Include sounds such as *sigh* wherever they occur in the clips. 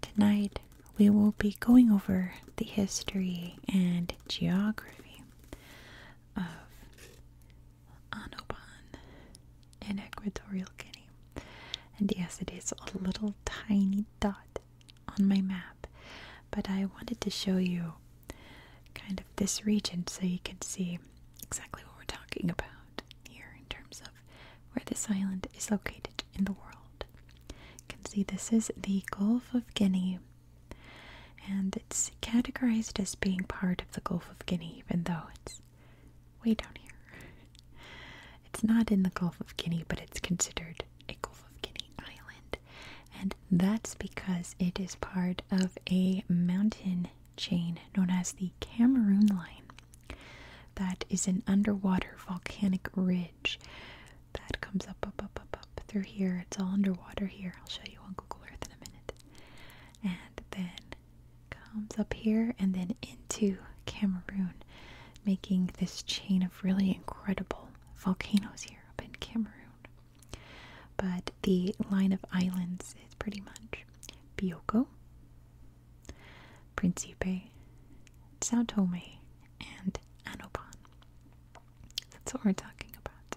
Tonight we will be going over the history and geography of Anoban in Equatorial Guinea. And yes, it is a little tiny dot on my map, but I wanted to show you kind of this region so you can see exactly what we're talking about here in terms of where this island is located in the world. You can see this is the Gulf of Guinea, and it's categorized as being part of the Gulf of Guinea, even though it's way down here. *laughs* It's not in the Gulf of Guinea, but it's considered a Gulf of Guinea island, and that's because it is part of a mountain chain known as the Cameroon Line. That is an underwater volcanic ridge that comes up, up, up, up, up through here. It's all underwater here. I'll show you on Google Earth in a minute. And then comes up here and then into Cameroon, making this chain of really incredible volcanoes here up in Cameroon. But the line of islands is pretty much Bioko, Principe, Sao Tome, and Anopan. That's what we're talking about.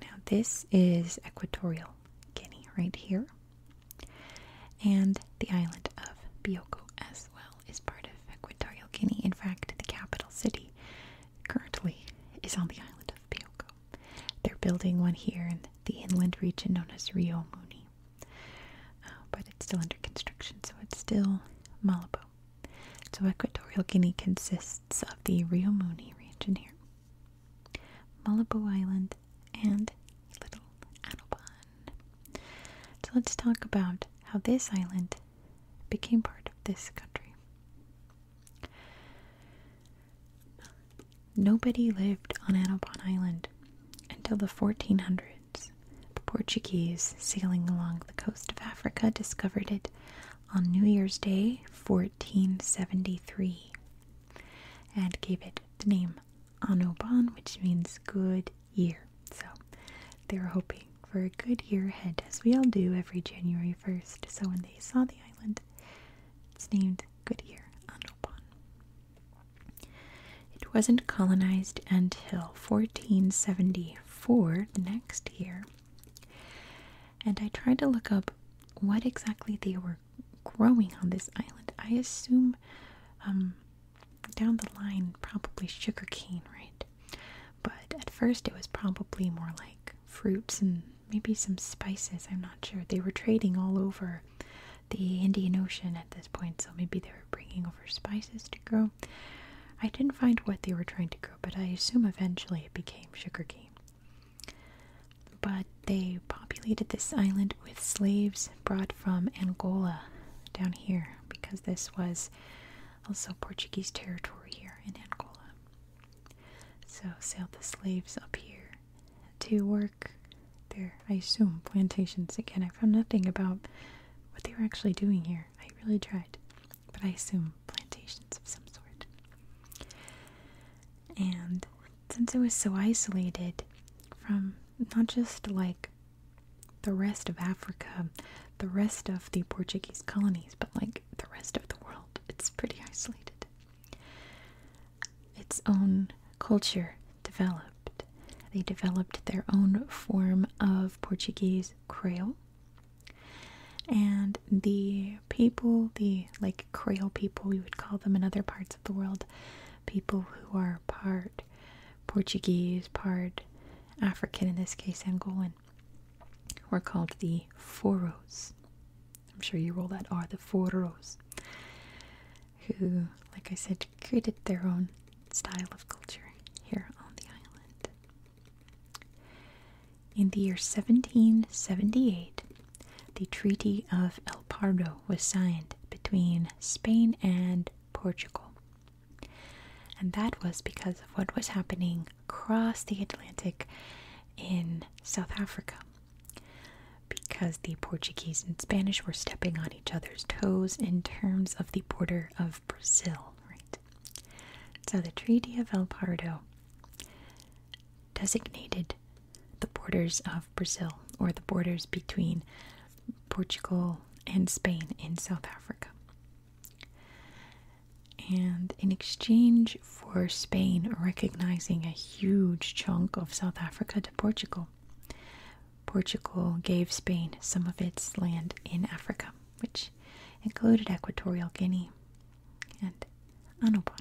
Now, this is Equatorial Guinea right here, and the island of Bioko as well is part of Equatorial Guinea. In fact, the capital city currently is on the island of Bioko. They're building one here in the inland region known as Rio Muni. Uh, but it's still under construction, so it's still Malibu. So Equatorial Guinea consists of the Rio Muni region here, Malibu Island, and Little Adelban. So let's talk about how this island became part of this country. Nobody lived on Annapon Island until the 1400s. The Portuguese sailing along the coast of Africa discovered it on New Year's Day 1473 and gave it the name Annobon, which means good year. So they were hoping for a good year ahead, as we all do every January 1st. So when they saw the island, it's named Goodyear Annobon. It wasn't colonized until 1474, the next year. And I tried to look up what exactly they were growing on this island. I assume um, down the line, probably sugar cane, right? But at first, it was probably more like fruits and maybe some spices. I'm not they were trading all over the Indian Ocean at this point, so maybe they were bringing over spices to grow. I didn't find what they were trying to grow, but I assume eventually it became sugarcane. But they populated this island with slaves brought from Angola down here because this was also Portuguese territory here in Angola. So sailed the slaves up here to work there. I assume plantations. Again, I found nothing about what they were actually doing here. I really tried. But I assume plantations of some sort. And since it was so isolated from not just like the rest of Africa, the rest of the Portuguese colonies, but like the rest of the world, it's pretty isolated its own culture developed. They developed their own form of Portuguese Creole. And the people, the like Creole people, we would call them in other parts of the world, people who are part Portuguese, part African, in this case Angolan, were called the Foros. I'm sure you all that are the foros, who, like I said, created their own style of culture here on the island. In the year 1778, the Treaty of El Pardo was signed between Spain and Portugal. And that was because of what was happening across the Atlantic in South Africa because the Portuguese and Spanish were stepping on each other's toes in terms of the border of Brazil, right? So the Treaty of El Pardo designated the borders of Brazil or the borders between Portugal and Spain in South Africa. And in exchange for Spain recognizing a huge chunk of South Africa to Portugal. Portugal gave Spain some of its land in Africa, which included Equatorial Guinea and Annobon.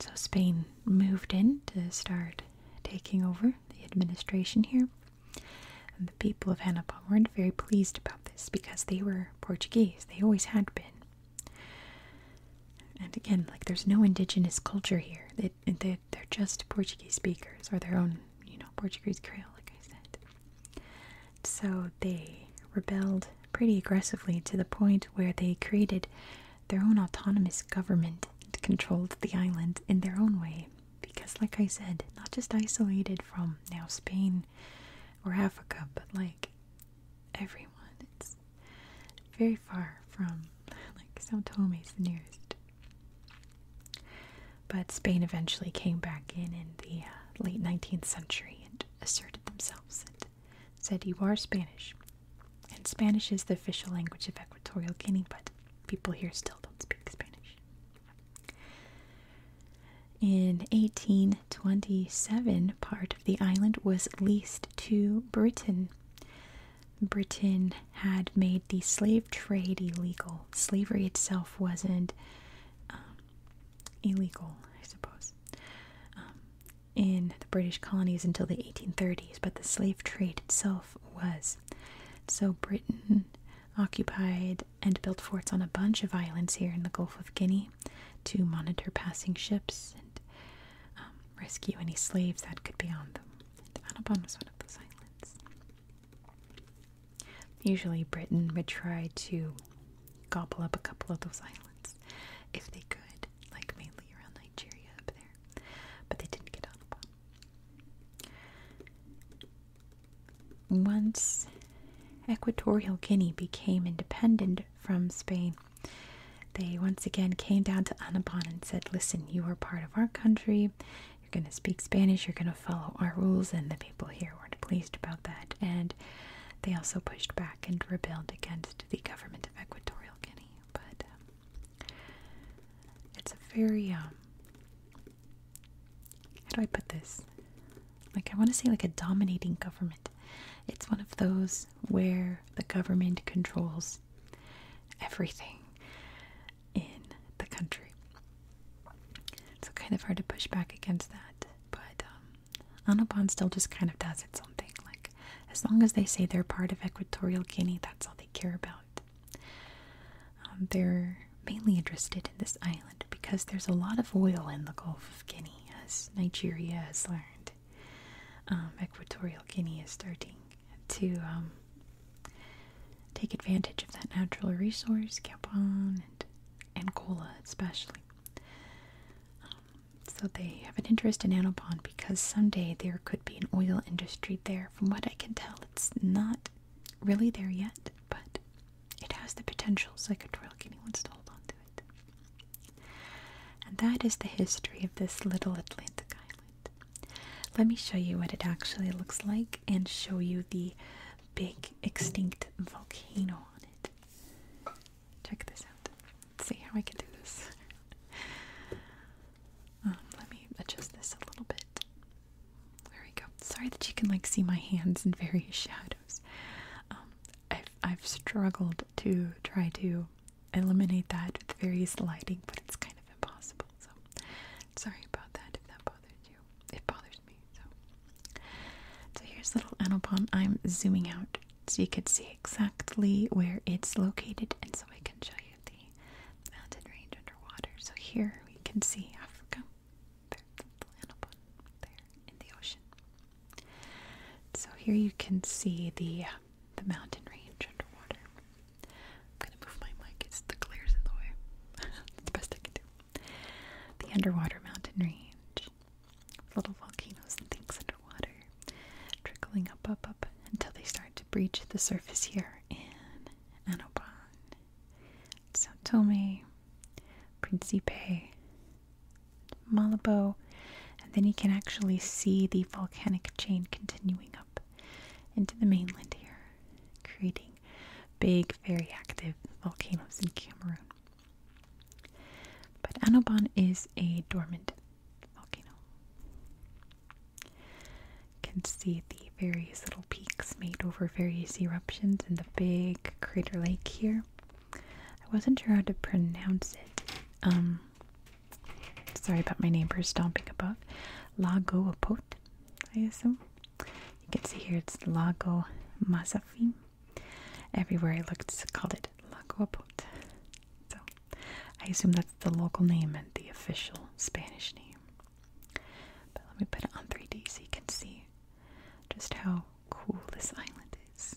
So Spain moved in to start taking over the administration here. And the people of Annapurna weren't very pleased about this because they were Portuguese. They always had been. And again, like there's no indigenous culture here. They, are just Portuguese speakers or their own, you know, Portuguese Creole, like I said. So they rebelled pretty aggressively to the point where they created their own autonomous government and controlled the island in their own way. Because, like I said, not just isolated from now Spain Britain or Africa, but like everyone. It's very far from like Sao Tome's the nearest. But Spain eventually came back in in the uh, late 19th century and asserted themselves and said, You are Spanish. And Spanish is the official language of Equatorial Guinea, but people here still don't speak Spanish. In 1827, part of the island was leased to Britain. Britain had made the slave trade illegal. Slavery itself wasn't um, illegal, I suppose, um, in the British colonies until the 1830s, but the slave trade itself was. So Britain occupied and built forts on a bunch of islands here in the Gulf of Guinea to monitor passing ships and um, rescue any slaves that could be on them. And Annabon was one of those islands. Usually, Britain would try to gobble up a couple of those islands if they could, like mainly around Nigeria up there, but they didn't get Annabon. Once Equatorial Guinea became independent from Spain, they once again came down to Annapon and said, Listen, you are part of our country. You're going to speak Spanish. You're going to follow our rules. And the people here weren't pleased about that. And they also pushed back and rebelled against the government of Equatorial Guinea. But um, it's a very um, how do I put this? Like, I want to say, like, a dominating government. It's one of those where the government controls everything in the country. So, kind of hard to push back against that. But um, Anabon still just kind of does its own thing. Like, as long as they say they're part of Equatorial Guinea, that's all they care about. Um, they're mainly interested in this island because there's a lot of oil in the Gulf of Guinea, as Nigeria has learned. Um, Equatorial Guinea is starting to um, take advantage of that natural resource, Gabon and Angola, especially. Um, so they have an interest in Anopon because someday there could be an oil industry there. From what I can tell, it's not really there yet, but it has the potential psychedelic if he wants to hold on to it. And that is the history of this little Atlantic island. Let me show you what it actually looks like and show you the big extinct volcano on it. Check this out. Let's see how I can do this. *laughs* Um, let me adjust this a little bit. There we go. Sorry that you can like see my hands in various *laughs* shadows. Um, I've I've struggled to try to eliminate that with various lighting, but it's kind of impossible. So sorry about that if that bothers you. It bothers me. So so here's little Anopon. I'm zooming out so you can see exactly where it's located, and so I can show you the mountain range underwater. So here we can see Africa there in the ocean. So here you can see the the mountain range underwater. I'm gonna move my mic; it's the clears in the way. *laughs* it's the best I can do. The underwater mountain range, little volcanoes and things underwater, trickling up, up, up until they start to breach the surface here in Annobon. Sao Tome, Principe, Malabo, and then you can actually see the volcanic chain continuing up into the mainland here, creating big, very active volcanoes in Cameroon. But Annobon is a dormant volcano can see the various little peaks made over various eruptions in the big crater lake here. I wasn't sure how to pronounce it. Um, sorry about my neighbor stomping above. Lago Apot, I assume. You can see here it's Lago Mazafim. Everywhere I looked called it Lago Apot. So I assume that's the local name and the official Spanish name. But let me put it on 3D so you can see just how cool this island is.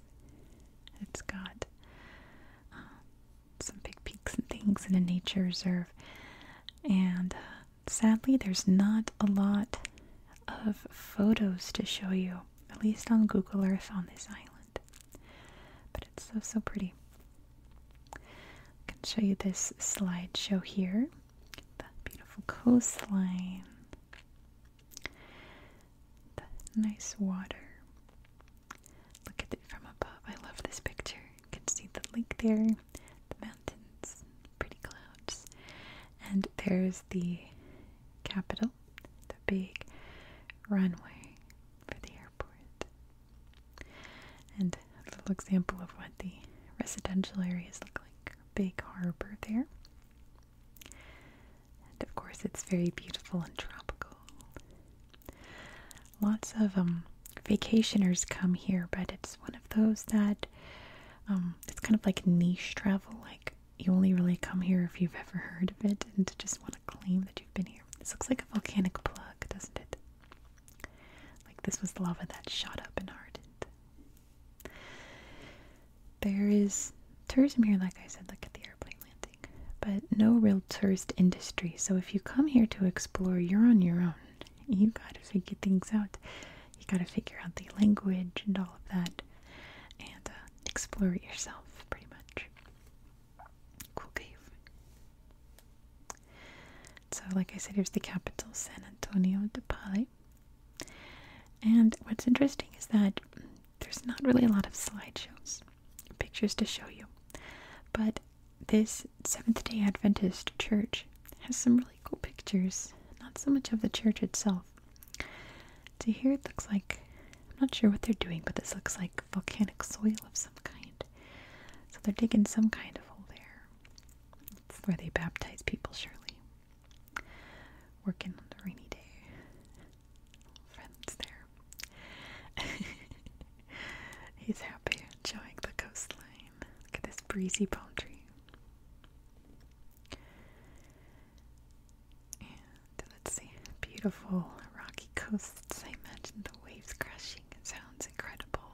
It's got um, some big peaks and things in a nature reserve. And uh, sadly, there's not a lot of photos to show you, at least on Google Earth on this island. But it's so, so pretty. I can show you this slideshow here. That beautiful coastline, the nice water. Look at it from above. I love this picture. You can see the lake there, the mountains, pretty clouds. And there's the capital, the big runway for the airport. And a little example of what the residential areas look like. Big harbor there. And of course it's very beautiful and tropical. Lots of um vacationers come here, but it's one of those that um it's kind of like niche travel, like you only really come here if you've ever heard of it and just want to claim that you've been here. This looks like a volcanic plug, doesn't it? Like this was lava that shot up and hardened. There is tourism here, like I said, look at the airplane landing, but no real tourist industry. So if you come here to explore, you're on your own. You gotta figure things out. You gotta figure out the language and all of that, and uh, explore it yourself, pretty much cool cave. So, like I said, here's the capital, San Antonio de Pali. And what's interesting is that there's not really a lot of slideshows, pictures to show you. But this Seventh day Adventist church has some really cool pictures, not so much of the church itself. So here, it looks like I'm not sure what they're doing, but this looks like volcanic soil of some kind. So they're digging some kind of hole there. where they baptize people, surely. Working on the rainy day. Friends there. *laughs* He's happy enjoying the coastline. Look at this breezy palm tree. And let's see, beautiful rocky coasts. I imagine waves crashing sounds incredible.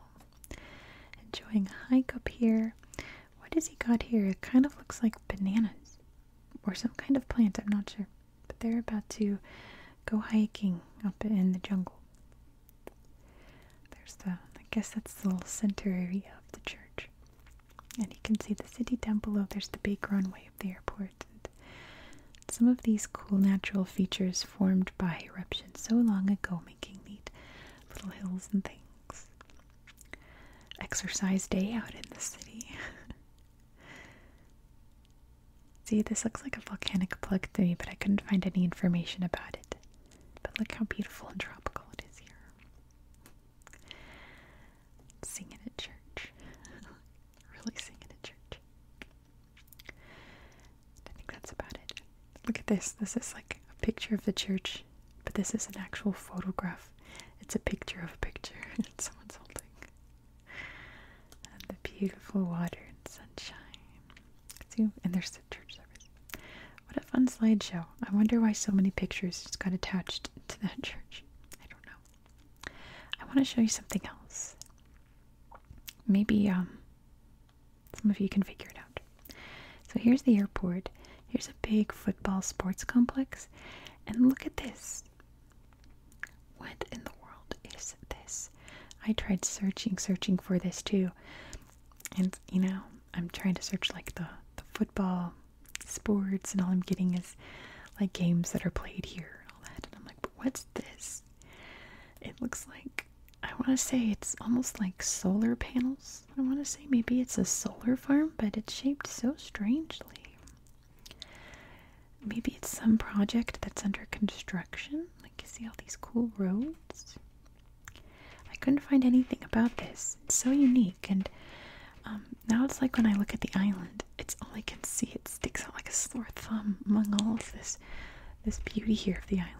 Enjoying a hike up here. What has he got here? It kind of looks like bananas or some kind of plant, I'm not sure. But they're about to go hiking up in the jungle. There's the, I guess that's the little center area of the church. And you can see the city down below. There's the big runway of the airport. Some of these cool natural features formed by eruptions so long ago, making neat little hills and things. Exercise day out in the city. *laughs* See, this looks like a volcanic plug to me, but I couldn't find any information about it. But look how beautiful and tropical it is here. Singing at church. *laughs* really singing at church. I think that's about it. Look at this. This is like a picture of the church, but this is an actual photograph. It's a picture of a picture *laughs* that someone's holding. And the beautiful water and sunshine. See, and there's the church service. What a fun slideshow. I wonder why so many pictures just got attached to that *laughs* church. I don't know. I want to show you something else maybe um, some of you can figure it out. So here's the airport. Here's a big football sports complex. And look at this. What in the world is this? I tried searching, searching for this too. And you know, I'm trying to search like the, the football sports and all I'm getting is like games that are played here all that. And I'm like, What's this? It looks like I want to say it's almost like solar panels. I want to say maybe it's a solar farm, but it's shaped so strangely. Maybe it's some project that's under construction. Like you see all these cool roads. I couldn't find anything about this. It's so unique and now it's like when I look at the island, it's all I can see. It sticks out like a sore thumb among all of this, this beauty here of the island.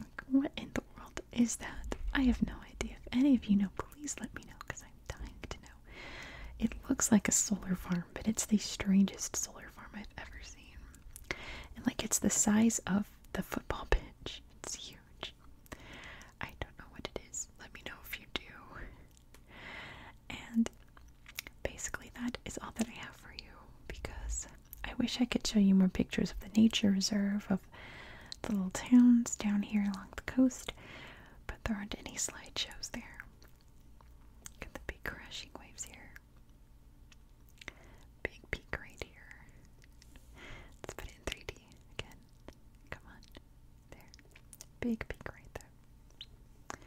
Like, what in the world is that? I have no idea. If any of you know, please let me know because I'm dying to know. It looks like a solar farm, but it's the strangest solar farm I've ever seen. And like it's the size of the football pitch. It's huge. I don't know what it is. Let me know if you do. And basically, that is all that I have for you because I wish I could show you more pictures of the nature reserve, of the little towns down here along the coast, but there aren't any slideshows there. Look the big crashing waves here. Big peak right here. Let's put it in 3D again. Come on. There. Big peak right there.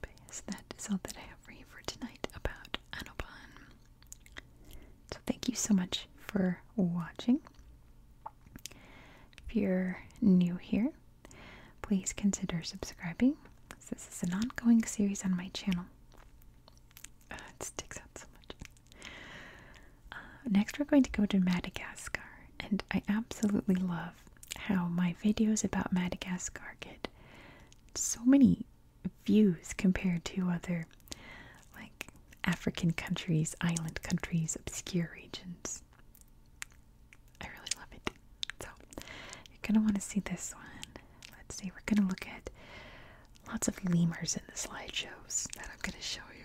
But yes, that is all that I have for you for tonight about Anobon. So thank you so much for watching. If you're new here, please consider subscribing. This is an ongoing series on my channel. Uh, it sticks out so much. Uh, next, we're going to go to Madagascar, and I absolutely love how my videos about Madagascar get so many views compared to other like African countries, island countries, obscure regions. I really love it. So, you're going to want to see this one. Let's see, we're going to look at lots of lemurs in the slideshows that I'm going to show you